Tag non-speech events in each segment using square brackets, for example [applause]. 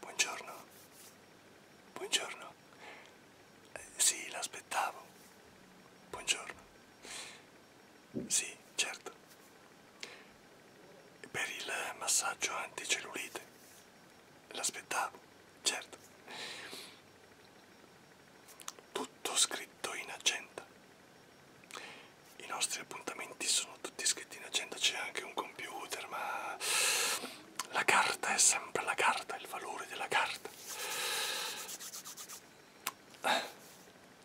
Buongiorno. Buongiorno. Eh, sì, l'aspettavo. Buongiorno. Sì, certo. Per il massaggio anticellulite. L'aspettavo, certo. Tutto scritto in agenda. I nostri appuntamenti sono tutti scritti in agenda, c'è anche un computer, ma la carta è sempre la carta, il valore della carta.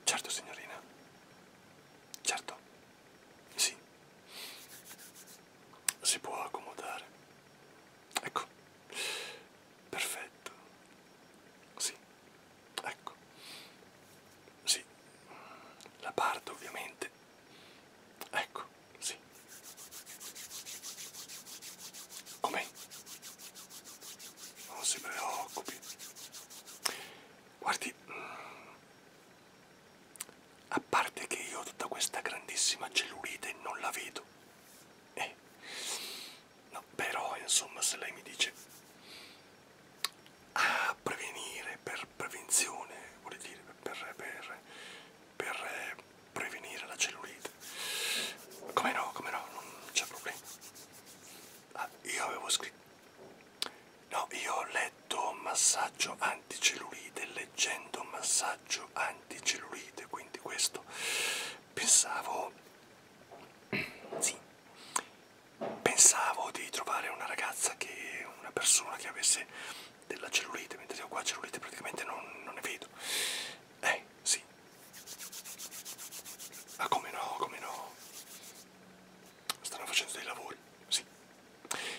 Certo signorina, certo, sì, si può accomodare. Ecco, perfetto, sì. Ecco. Sì. La parte ovviamente. Ecco, sì. Come? Non si preoccupi. Guardi, a parte che io ho tutta questa grandissima cellulite e non la vedo. Eh. No, però, insomma, se lei mi dice a ah, prevenire per prevenzione, vuol dire per, per, per eh, prevenire la cellulite. Come no, come no, non c'è problema. Ah, io avevo scritto... No, io ho letto massaggio anticellulite, leggendo massaggio anticellulite, quindi questo pensavo... Sì, pensavo di trovare una ragazza che una persona che avesse della cellulite, mentre io qua cellulite praticamente non, non ne vedo. Eh, sì. Ma ah, come no, come no? Stanno facendo dei lavori, sì.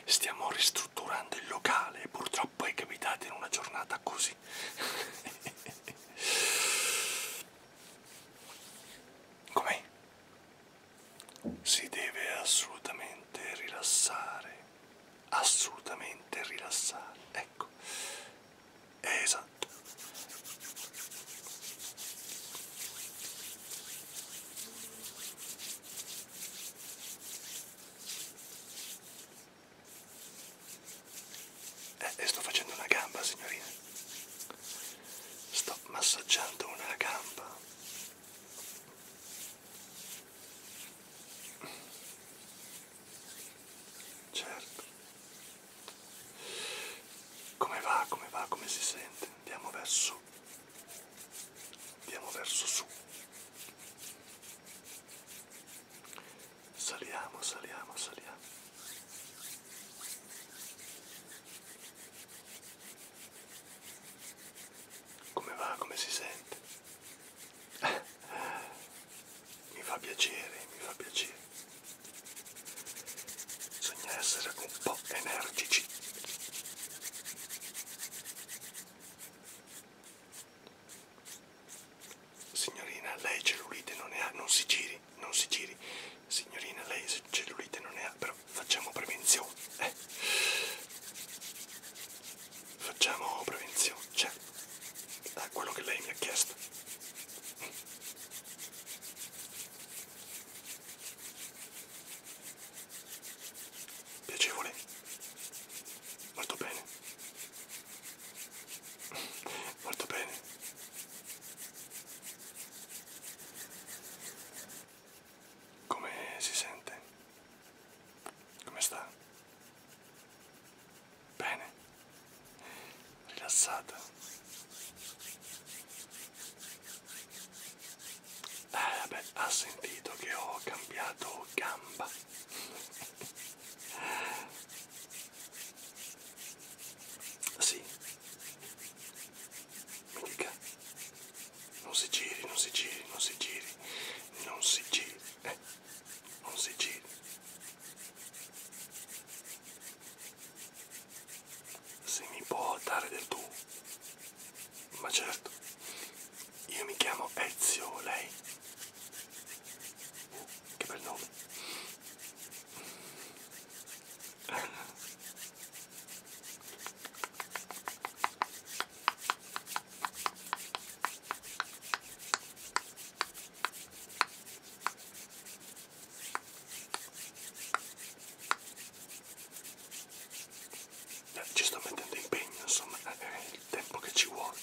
Stiamo ristrutturando il locale e purtroppo è capitato in una giornata così. [laughs] Com'è? si deve assolutamente rilassare, assolutamente rilassare, ecco, esatto. Eh, sto facendo una gamba, signorina sto massaggiando una gamba certo come va come va come si sente andiamo verso andiamo verso su saliamo saliamo saliamo come va? Come si sente? mi fa piacere, mi fa piacere. Bisogna essere un po' energici. Signorina, lei cellulite non ne ha, non si giri, non si giri. Signorina, lei se cellulite non ne ha, però facciamo prevenzione, eh? Facciamo prevenzione, cioè, è quello che lei mi ha chiesto. Piacevole? Molto bene. Molto bene. Come si sente? Come sta? Bene? Rilassata? Eh beh, ha sentito che ho cambiato gamba. Sì, mica non si giri non si giri non si giri non si giri eh, non si giri se mi può dare del tu ma certo io mi chiamo Ezio lei uh, che bel nome ci sto mettendo impegno, insomma, è il tempo che ci vuole.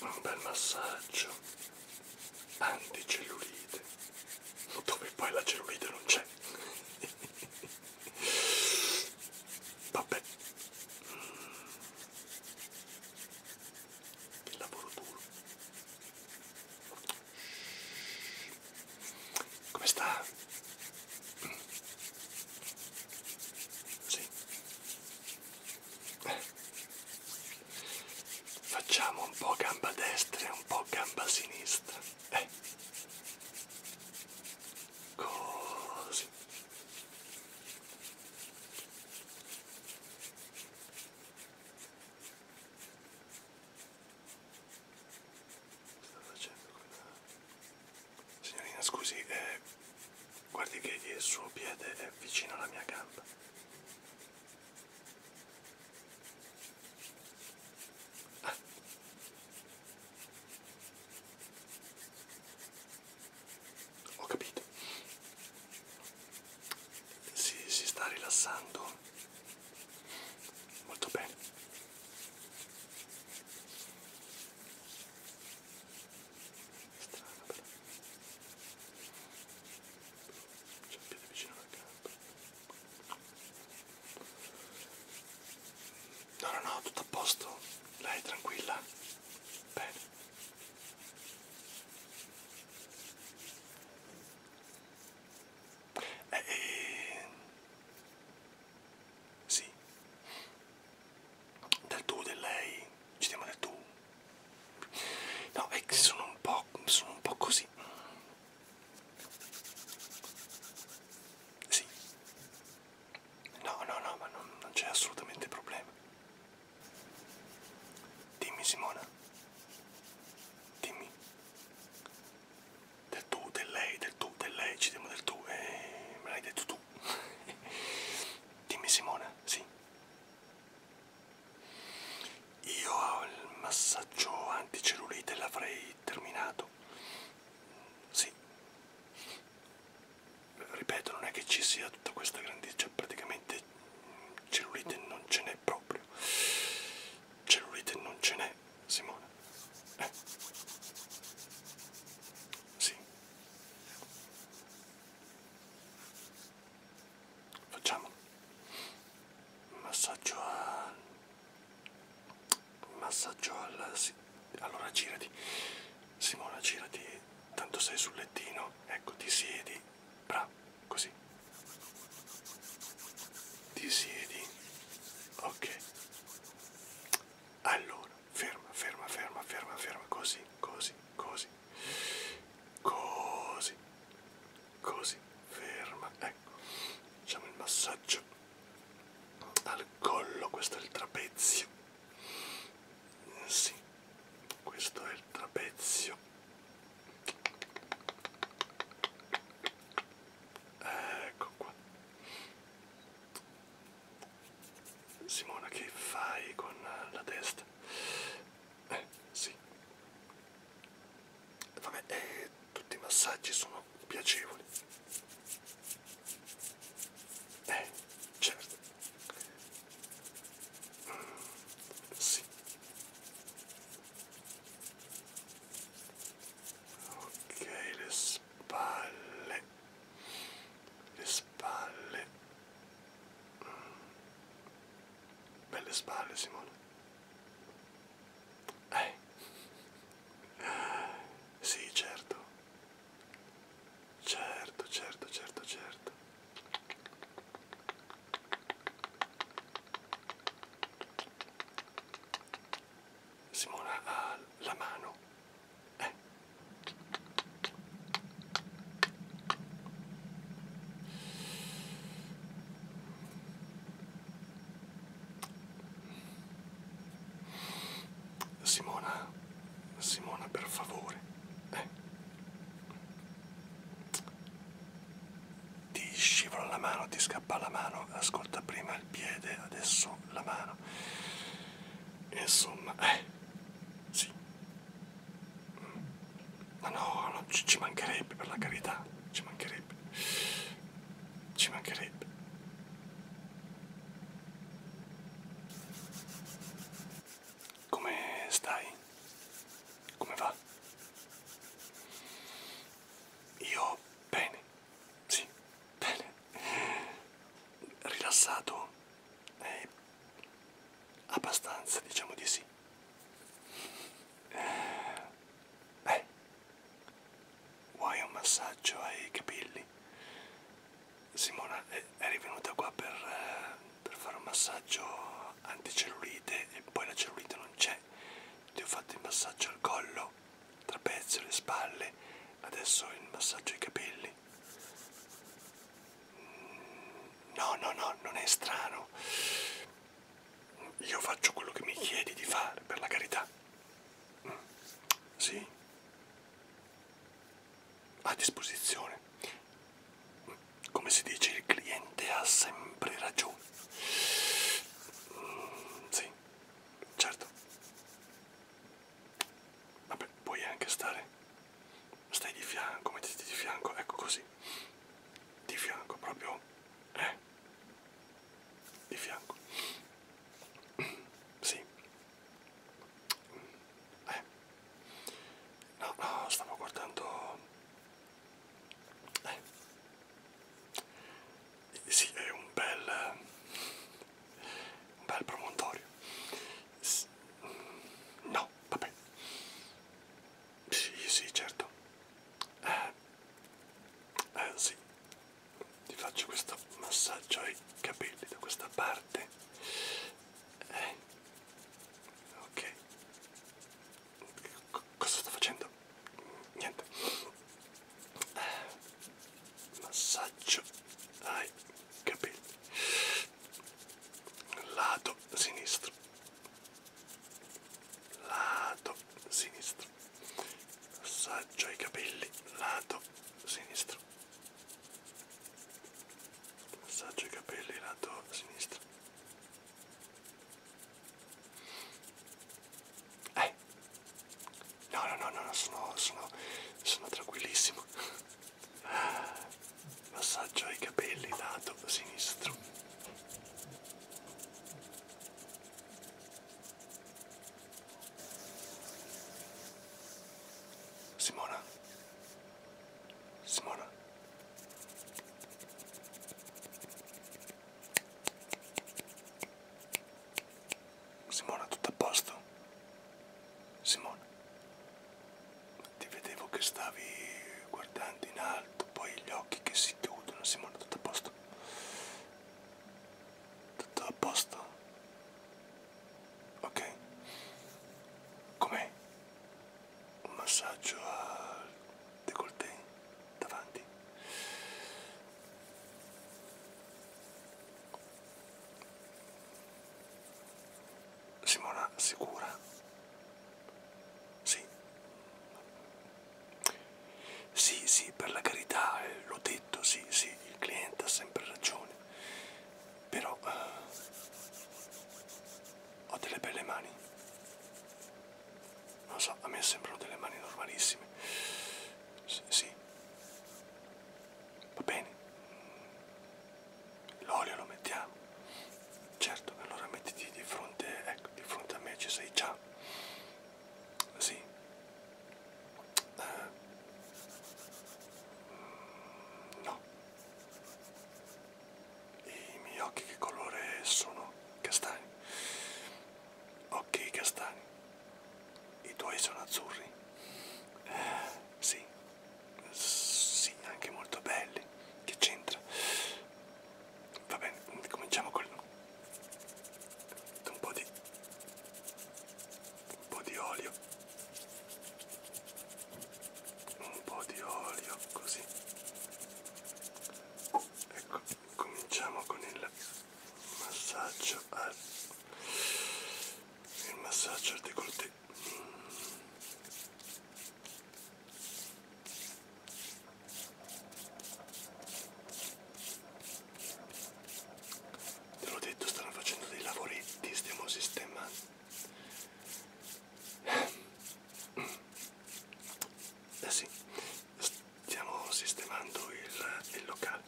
Un bel massaggio anticellulite dove poi la cellulite non c'è vabbè che lavoro duro come sta? sì Facciamo un po' gamba destra e un po' gamba sinistra. Eh. Così. Sto facendo quella... Signorina, scusi, eh, Guardi che il suo piede è vicino alla mia gamba. Ah. Ho capito. Si, si sta rilassando molto bene strana però c'è un piede vicino al campo no no no tutto a posto lei è tranquilla bene eh, eh, sì del tu, del lei, ci diamo del tu. No, è che sono un po', sono un po' così. Sì. No, no, no, ma non, non c'è assolutamente problema. Dimmi Simona. Dimmi. Del tu, del lei, del tu, del lei, ci diamo del tu. Eh, me l'hai detto tu. [laughs] Dimmi Simona, sì. Io il massaggio anticellulite l'avrei terminato. Sì. Ripeto, non è che ci sia tutta questa grandezza, cioè praticamente cellulite non ce n'è proprio. Cellulite non ce n'è, Simona. Eh. Sì facciamo un massaggio a un massaggio al sì. allora girati Simona girati tanto sei sul lettino ecco ti siedi bravo così ti siedi ok allora ferma ferma ferma ferma ferma così così così così così così ferma ecco facciamo il massaggio al collo questo è il trapezio sì questo è il trapezio ecco qua Simona che fai con la testa? Eh, sì. Vabbè, eh, tutti i massaggi sono piacevoli. Eh, certo. Mm, sì. Ok, le spalle. Le spalle. Belle spalle, Simone. Eh. Sì, certo. Certo, certo, certo, certo. Simona ha la mano. Eh. Simona, Simona per favore, eh. ti scivola la mano, ti scappa la mano, ascolta prima il piede, adesso la mano, insomma, eh, sì, No, no, no ci, ci mancherebbe per la carità, ci mancherebbe. Ci mancherebbe. Come stai? Come va? Io bene, sì, bene. Rilassato. Eh, Abbastanza, diciamo di sì. Beh, vuoi un massaggio ai capelli? Simona è, è rivenuta qua per, eh, per fare un massaggio anticellulite e poi la cellulite non c'è. Ti ho fatto il massaggio al collo, trapezio, le spalle, adesso il massaggio ai capelli male. No, no, no, non è strano. Io faccio quello che mi chiedi di fare, per la carità. Sì? A disposizione. Come si dice, il cliente ha sempre ragione. Sì, certo. Vabbè, puoi anche stare stai di fianco, mettiti di fianco, ecco così, di fianco proprio, eh, di fianco, sì, eh, no, no, stavo guardando, eh, sì, è un bel, un bel promontorio. No, no, vabbè. Sì, sì, certo. Eh, eh sì. Ti faccio questo massaggio ai capelli da questa parte. Eh. Ok. C cosa sto facendo? Niente. Eh. Massaggio ai capelli lato sinistro lato sinistro assaggio ai capelli lato sinistro assaggio ai capelli lato sinistro eh no no no no sono sono sono tranquillissimo Massaggio ai capelli lato sinistro. Simona. Simona. Simona, tutto a posto? Simona ti vedevo che stavi guardando in alto, poi gli occhi che si chiudono, Simone, tutto a posto? Tutto a posto? Ok. Com'è? Un massaggio al décolleté davanti. Simona sicura? Sì. Sì, sì, per la carità, eh, l'ho detto, sì, sì, il cliente ha sempre ragione. Però eh, ho delle belle mani. Non so, a me sembrano delle mani normalissime. Sì, sì. Va bene l'olio lo mettiamo certo allora mettiti di fronte ecco di fronte a me ci sei già sì eh. no i miei occhi che colore sono castani occhi castani i tuoi sono azzurri eh, sì sì, anche molto belli, che c'entra? Va bene, cominciamo con un po' di un po' di olio un po' di olio così ecco cominciamo con il massaggio al, il massaggio al décolleté Te l'ho detto, stanno facendo dei lavoretti, stiamo sistemando. Eh sì, stiamo sistemando il, il locale.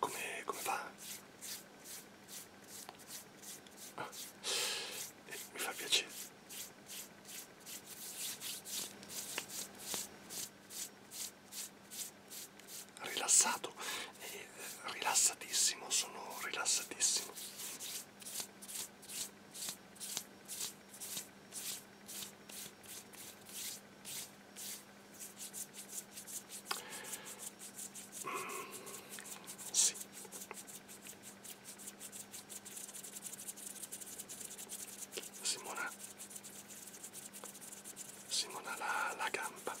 Come, come fa? Ah, eh, mi fa piacere. Rilassato, eh, rilassatissimo, sono rilassatissimo. Sì. Simona, Simona la, la gamba,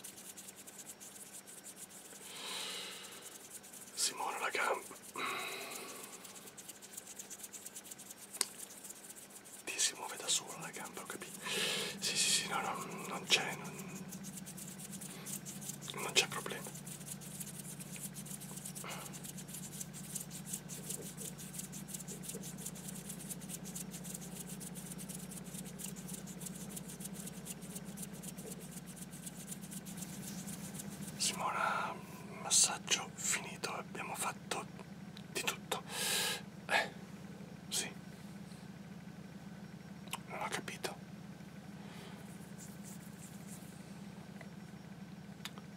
Simona la gamba, ti si muove da sola la gamba, ok? tempi. Sì, sì, sì, no, no, non c'è. Non, non c'è problema. Simona, massaggio finito, abbiamo fatto di tutto. Eh, sì. Non ho capito.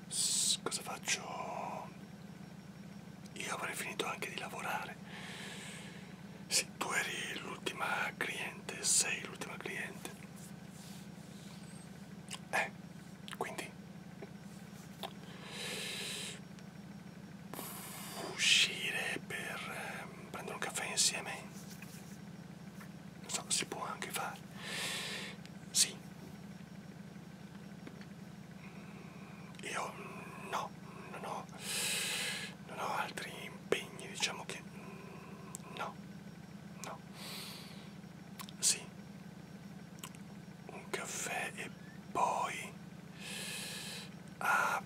S cosa faccio? Io avrei finito anche di lavorare. Sì, tu eri l'ultima cliente, sei l'ultima cliente. Eh, quindi uscire per eh, prendere un caffè insieme non so si può anche fare sì mm, io no non ho non ho altri impegni diciamo che mm, no no sì un caffè e poi Uh,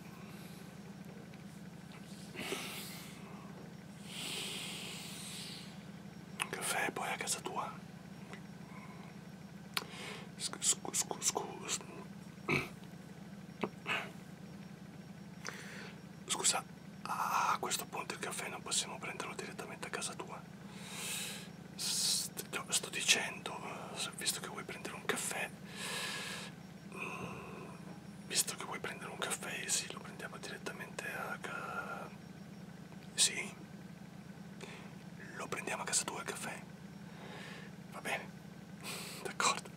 un caffè poi a casa tua scusa scusa scusa scusa a questo punto il caffè non possiamo prenderlo direttamente a casa tua sto, sto dicendo visto che vuoi prendere un caffè Visto che vuoi prendere un caffè, sì, lo prendiamo direttamente a casa. Sì? Lo prendiamo a casa tua il caffè? Va bene? [laughs] D'accordo?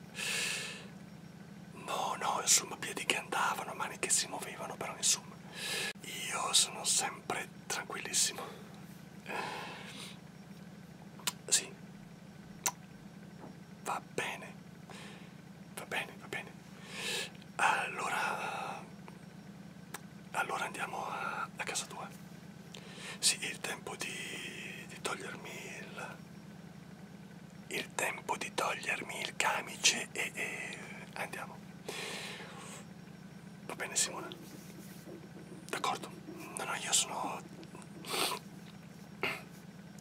No, no, insomma, piedi che andavano, mani che si muovevano, però insomma, io sono sempre tranquillissimo. Eh, sì, Va bene, va bene, va bene. Allora, allora andiamo a, a casa tua. Sì, è il tempo di, di togliermi il... Il tempo di togliermi il camice e, e andiamo. Va bene Simona? D'accordo. No, no, io sono...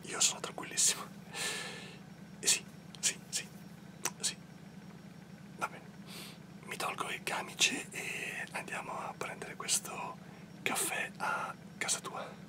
Io sono tranquillissimo. Eh sì, sì, sì, sì. Va bene. Mi tolgo il camice e andiamo a prendere questo caffè a casa tua.